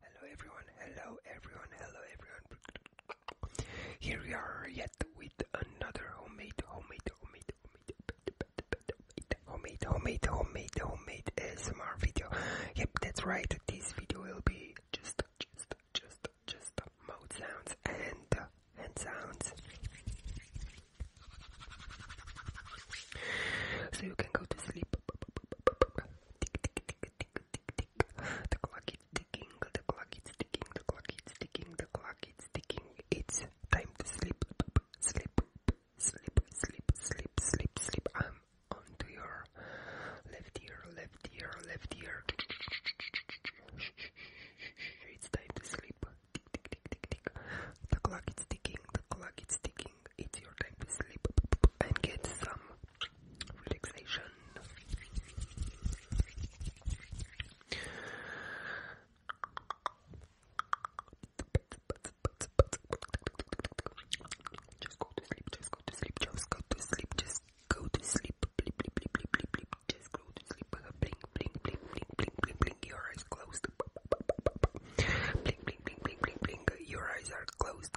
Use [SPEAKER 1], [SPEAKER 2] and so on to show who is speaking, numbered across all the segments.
[SPEAKER 1] Hello everyone, hello everyone, hello everyone. Here we are yet with another homemade, homemade, homemade, homemade, homemade, homemade, homemade, homemade ASMR video. Yep, that's right. This video will be just, just, just, just mouth sounds and uh, hand sounds. So you can go to sleep. The clock is ticking, the clock is ticking, the clock is ticking, the clock is ticking. It's time to sleep, sleep, sleep, sleep, sleep, sleep, sleep. I'm onto your left ear, left ear, left ear. It's time to sleep. The clock is ticking, the clock is ticking it's your time to sleep and get some relaxation. Just go to sleep, just go to sleep, just go to sleep, just go to sleep, bleep, bleep, bleep, bleep, bleep, bleep, just go to sleep, blink, blink, blink, blink, blink, blink, blink, your eyes closed, blink, blink, blink, blink, blink, blink, your eyes are closed,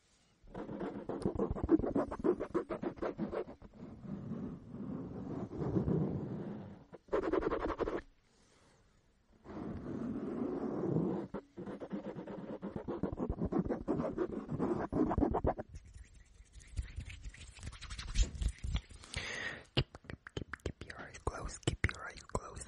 [SPEAKER 1] Keep, keep, keep, keep your eyes closed. Keep your eyes closed.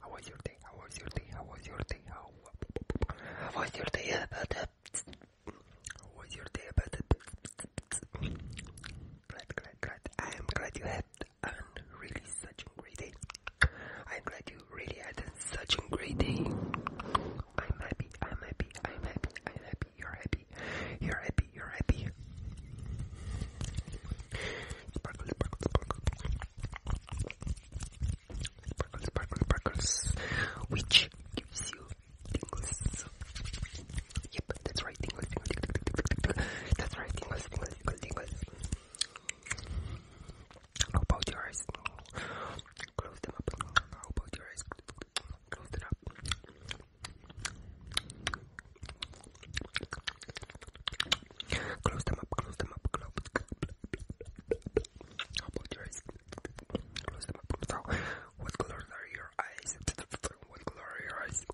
[SPEAKER 1] How was your day? How was your day? How was your day? How, was your day about it? How was your day about it? I am glad you had an really such a great day. I'm glad you really had such a great day. I'm happy, I'm happy, I'm happy, I'm happy, you're happy be, here I be, here I be. Sparkle, sparkle, sparkle. Sparkle, sparkle, sparkles. Which gives you tingles. Yep, that's right, tingles, tingles, tingles, tingles, tingles. That's right, tingles, tingles, tingles, tingles. How about your eyes? Close them up. How about your eyes? Close it up. Close them up, close them up, close How about your eyes? Close them up. So, what colors are your eyes? What color are your eyes?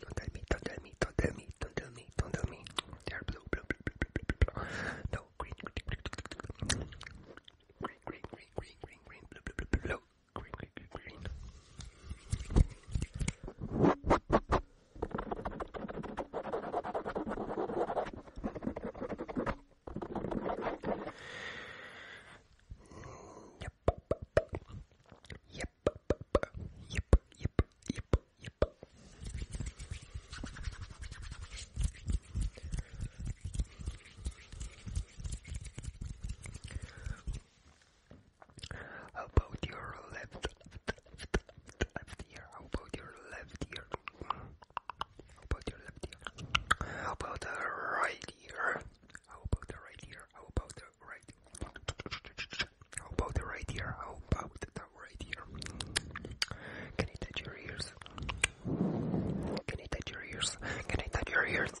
[SPEAKER 1] Don't tell me, don't tell me, don't tell me, don't tell me, don't tell me. They are blue, blue, blue, blue, blue, blue, blue. No, green, green, green, green, green, green, green, green, green, green, blue, blue, blue, blue, blue green, green, green, green. Yep. Yep. Yep. Yep. Yep. Yep about your left, ear? about your left ear? about your left ear? about the right ear? about the right ear? about the right? about the right ear? about the right ear? Can I touch your ears? Can I touch your ears? Can I touch your ears?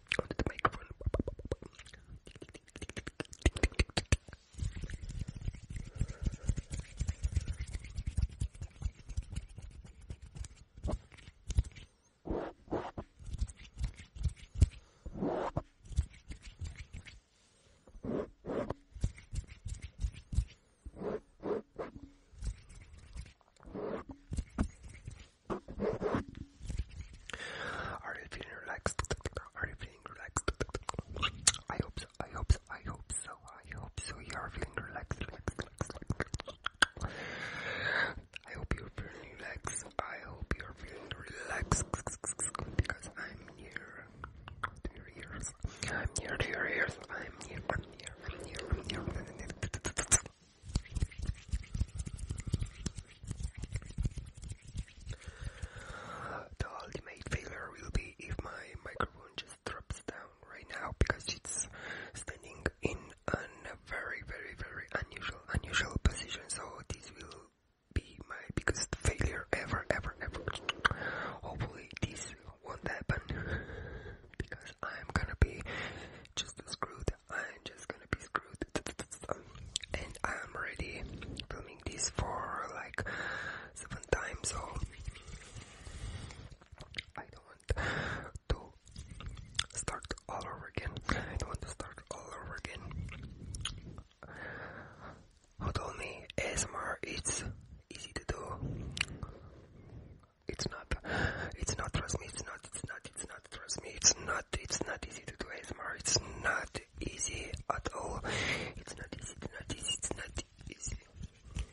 [SPEAKER 1] onto the microphone. Are you feeling relaxed? Are you feeling relaxed? I hope so, I hope so, I hope so, I hope so you are feeling relaxed, I hope you're feeling relaxed, I hope you're feeling relaxed, because I'm near to your ears, I'm near to your ears, I'm near, I'm near, I'm near, I'm near. The ultimate failure will be if my microphone just drops down right now because it's standing in a very, very, very unusual, unusual position. So this will be my biggest failure ever, ever, ever. Hopefully this won't happen because I'm gonna be just screwed I'm just gonna be screwed. And I'm already filming this for like seven times, so I don't want to start all over again. I don't want to start all over again. Who told me ASMR it's easy to do? It's not. It's not. Trust me. It's not. It's not. It's not trust me. It's not. It's not easy to do ASMR. It's not easy at all. It's not easy. It's not easy. It's not easy.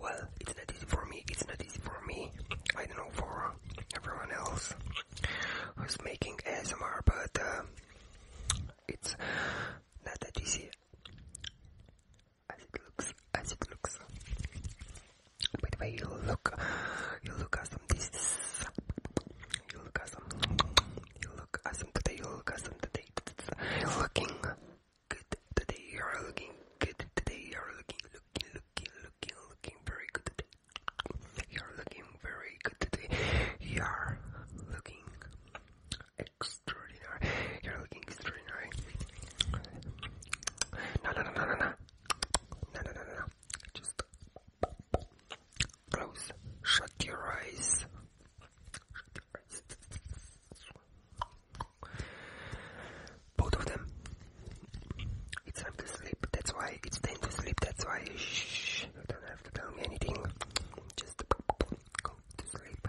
[SPEAKER 1] Well, it's not easy for me. It's not easy for me. I don't know for everyone else who's making ASMR, but uh, it's not that easy as it looks. As it looks. By the way, you look, you look awesome. This, you look awesome. You look awesome today. You look awesome today. You're looking good today. You're looking good today. You're looking, looking, looking, looking, looking very good today. You're looking very good today. You're looking extraordinary. You're looking extraordinary. No, no, no, no, no, no. No, no, no, no. Just close. Shut your eyes. Shut your eyes. Both of them. It's time to sleep. That's why. It's time to sleep. That's why. Shh. don't have to tell me anything. Just go to sleep.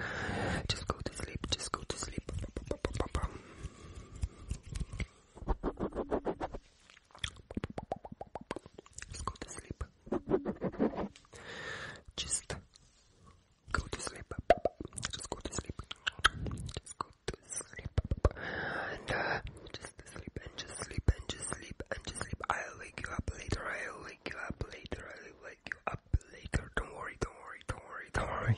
[SPEAKER 1] Just go to sleep. Just go to sleep. Just go to sleep. Just go to sleep. Just go to sleep. Just go to sleep. And uh, just sleep and just sleep and just sleep and just sleep. I'll wake you up later. I'll wake you up later. I'll wake you up later. Don't worry, don't worry, don't worry, don't worry.